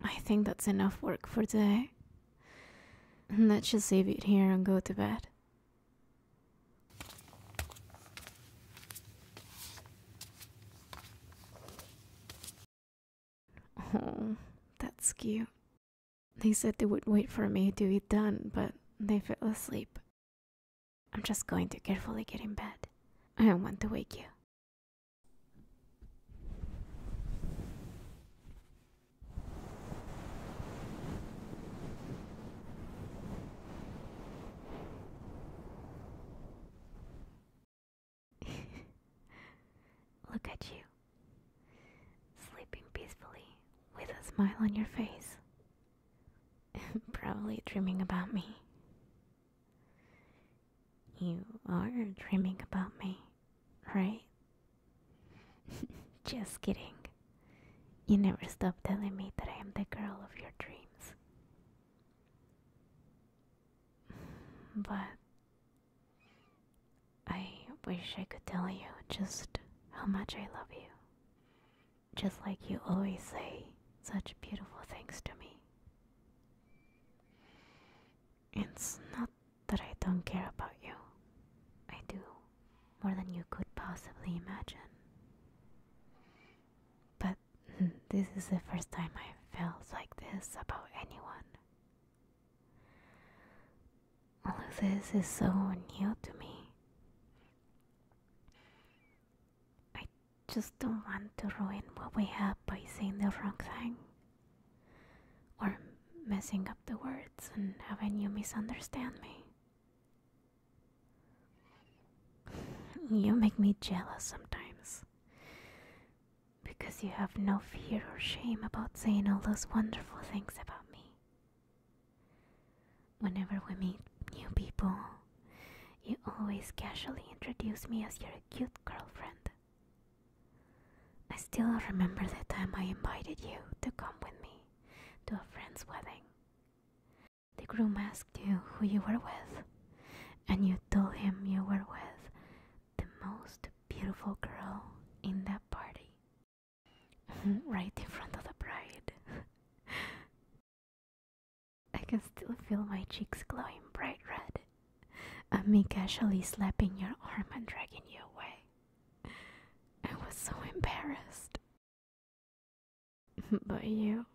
I think that's enough work for today. Let's just leave it here and go to bed. Oh, that's cute. They said they would wait for me to be done, but they fell asleep. I'm just going to carefully get in bed. I don't want to wake you. Look at you, sleeping peacefully with a smile on your face, probably dreaming about me. You are dreaming about me, right? Just kidding. You never stop telling me that I am the girl of your dreams. But I wish I could tell you just how much I love you. Just like you always say such beautiful things to me. It's not that I don't care about you, I do more than you could possibly imagine. But this is the first time I felt like this about anyone. All of this is so new to me. I just don't want to ruin what we have by saying the wrong thing. Or messing up the words and having you misunderstand me. You make me jealous sometimes. Because you have no fear or shame about saying all those wonderful things about me. Whenever we meet new people, you always casually introduce me as your cute girlfriend. I still remember the time I invited you to come with me to a friend's wedding. The groom asked you who you were with, and you told him you were with the most beautiful girl in that party, right in front of the bride. I can still feel my cheeks glowing bright red, and me casually slapping your arm and dragging you away. I was so embarrassed. But you,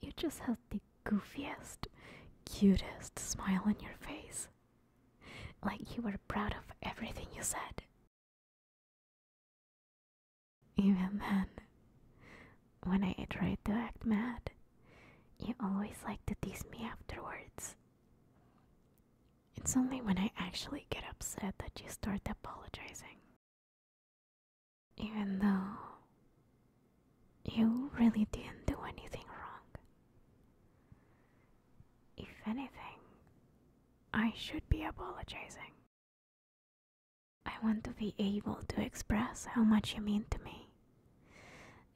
you just had the goofiest, cutest smile on your face. Like you were proud of everything you said. Even then, when I tried to act mad, you always liked to tease me afterwards. It's only when I actually get upset that you start apologizing. Even though you really didn't do anything wrong. If anything, I should be apologizing. I want to be able to express how much you mean to me.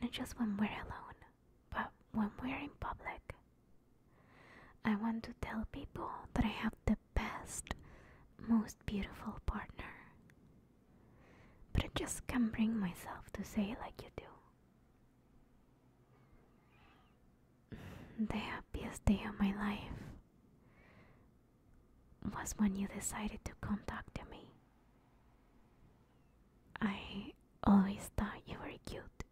Not just when we're alone, but when we're in public. I want to tell people that I have the best, most beautiful partner. But I just can't bring myself to say it like you do. The happiest day of my life was when you decided to contact me. I always oh, thought you were cute.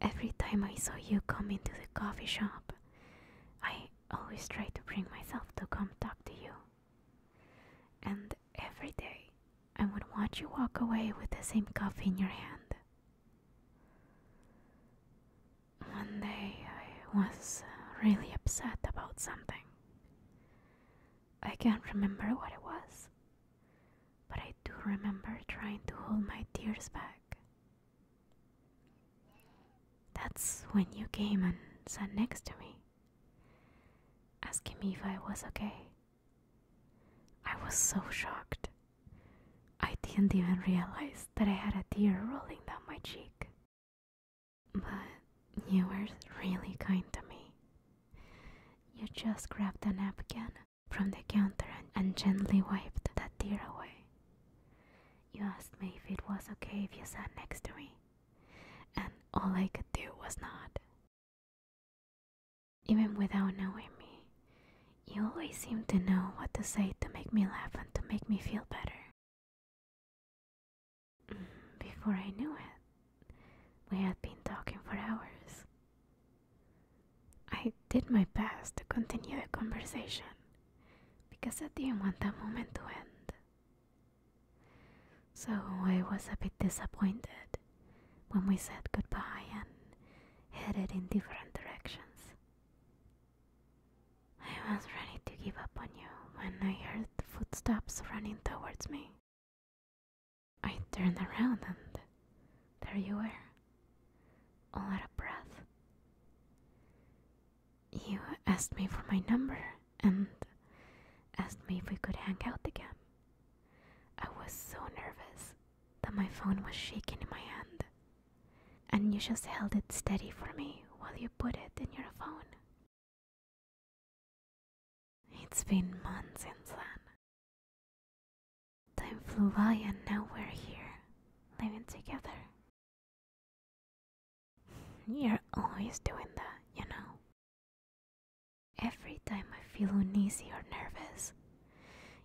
Every time I saw you come into the coffee shop, I always tried to bring myself to come talk to you. And every day, I would watch you walk away with the same coffee in your hand. One day, I was uh, really upset about something. I can't remember what it was but I do remember trying to hold my tears back. That's when you came and sat next to me, asking me if I was okay. I was so shocked. I didn't even realize that I had a tear rolling down my cheek. But you were really kind to me. You just grabbed a napkin from the counter and, gently wiped that tear away. You asked me if it was okay if you sat next to me, and all I could do was nod. Even without knowing me, you always seemed to know what to say to make me laugh and to make me feel better. Mm, before I knew it, we had been talking for hours, I did my best to continue the conversation because I didn't want that moment to end. So I was a bit disappointed when we said goodbye and headed in different directions. I was ready to give up on you when I heard footsteps running towards me. I turned around and there you were, all out of breath. You asked me for my number and asked me if we could hang out again. I was so nervous that my phone was shaking in my hand, and you just held it steady for me while you put it in your phone. It's been months since then. Time flew by and now we're here, living together. You're always doing that, you know. Every time I feel uneasy or nervous,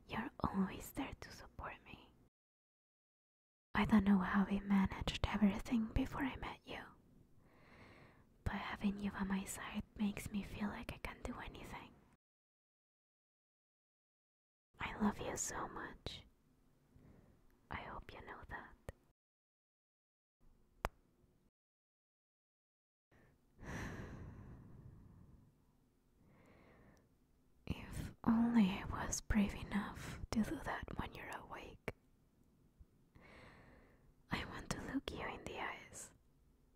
you're always there to support me. I don't know how we managed everything before I met you but having you by my side makes me feel like I can do anything. I love you so much. I hope you know that. if only I was brave enough to do that when you're awake. I want to look you in the eyes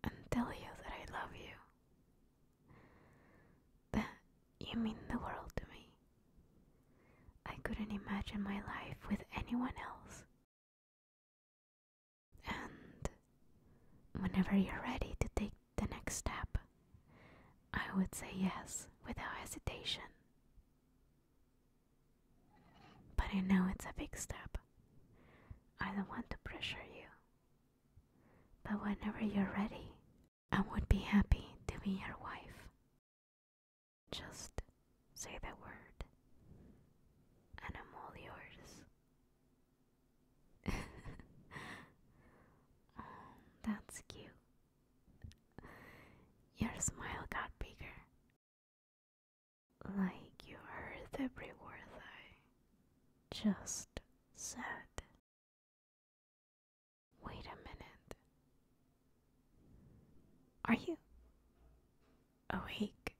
and tell you that I love you. That you mean the world to me. I couldn't imagine my life with anyone else. And whenever you're ready to take the next step, I would say yes without hesitation. But I know it's a big step. I don't want to pressure you. But whenever you're ready, I would be happy to be your wife. Just say the word, and I'm all yours. oh, that's cute. Your smile got bigger like you heard every word I just said. Wait a minute. Are you awake?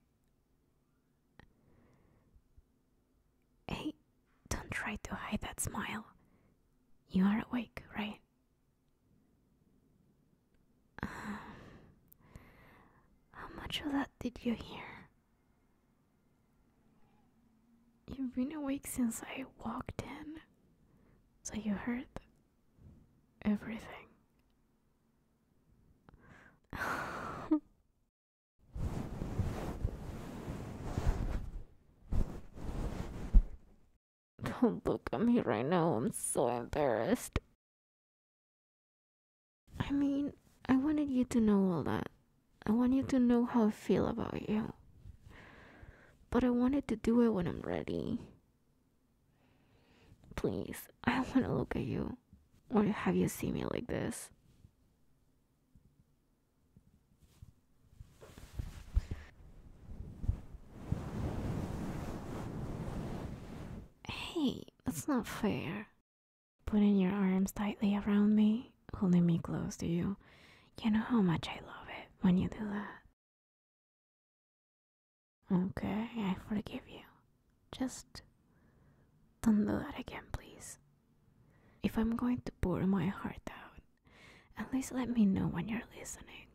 Hey, don't try to hide that smile. You are awake, right? Um, how much of that did you hear? You've been awake since I walked in, so you heard everything. Don't look at me right now, I'm so embarrassed. I mean, I wanted you to know all that. I wanted to know how I feel about you. But I wanted to do it when I'm ready. Please, I want to look at you or have you see me like this. Hey, that's not fair. Putting your arms tightly around me, holding me close to you. You know how much I love it when you do that. Okay, I forgive you. Just don't do that again, please. If I'm going to pour my heart out, at least let me know when you're listening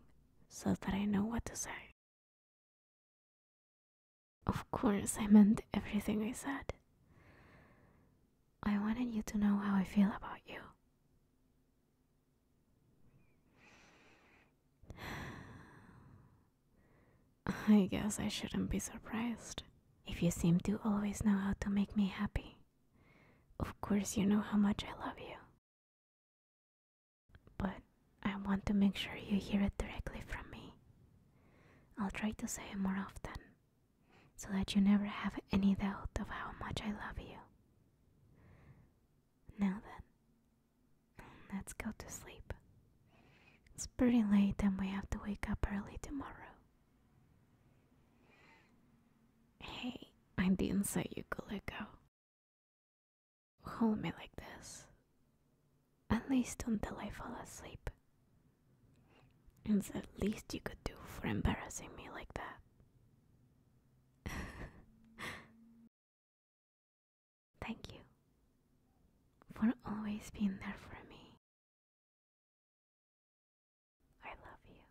so that I know what to say. Of course, I meant everything I said. I wanted you to know how I feel about you. I guess I shouldn't be surprised if you seem to always know how to make me happy. Of course, you know how much I love you. But I want to make sure you hear it directly from me. I'll try to say it more often so that you never have any doubt of how much I love you. Now then, let's go to sleep. It's pretty late and we have to wake up early tomorrow. Hey, I didn't say you could let go. Hold me like this, at least until I fall asleep. It's at least you could do for embarrassing me like that. Thank you for always being there for me. I love you.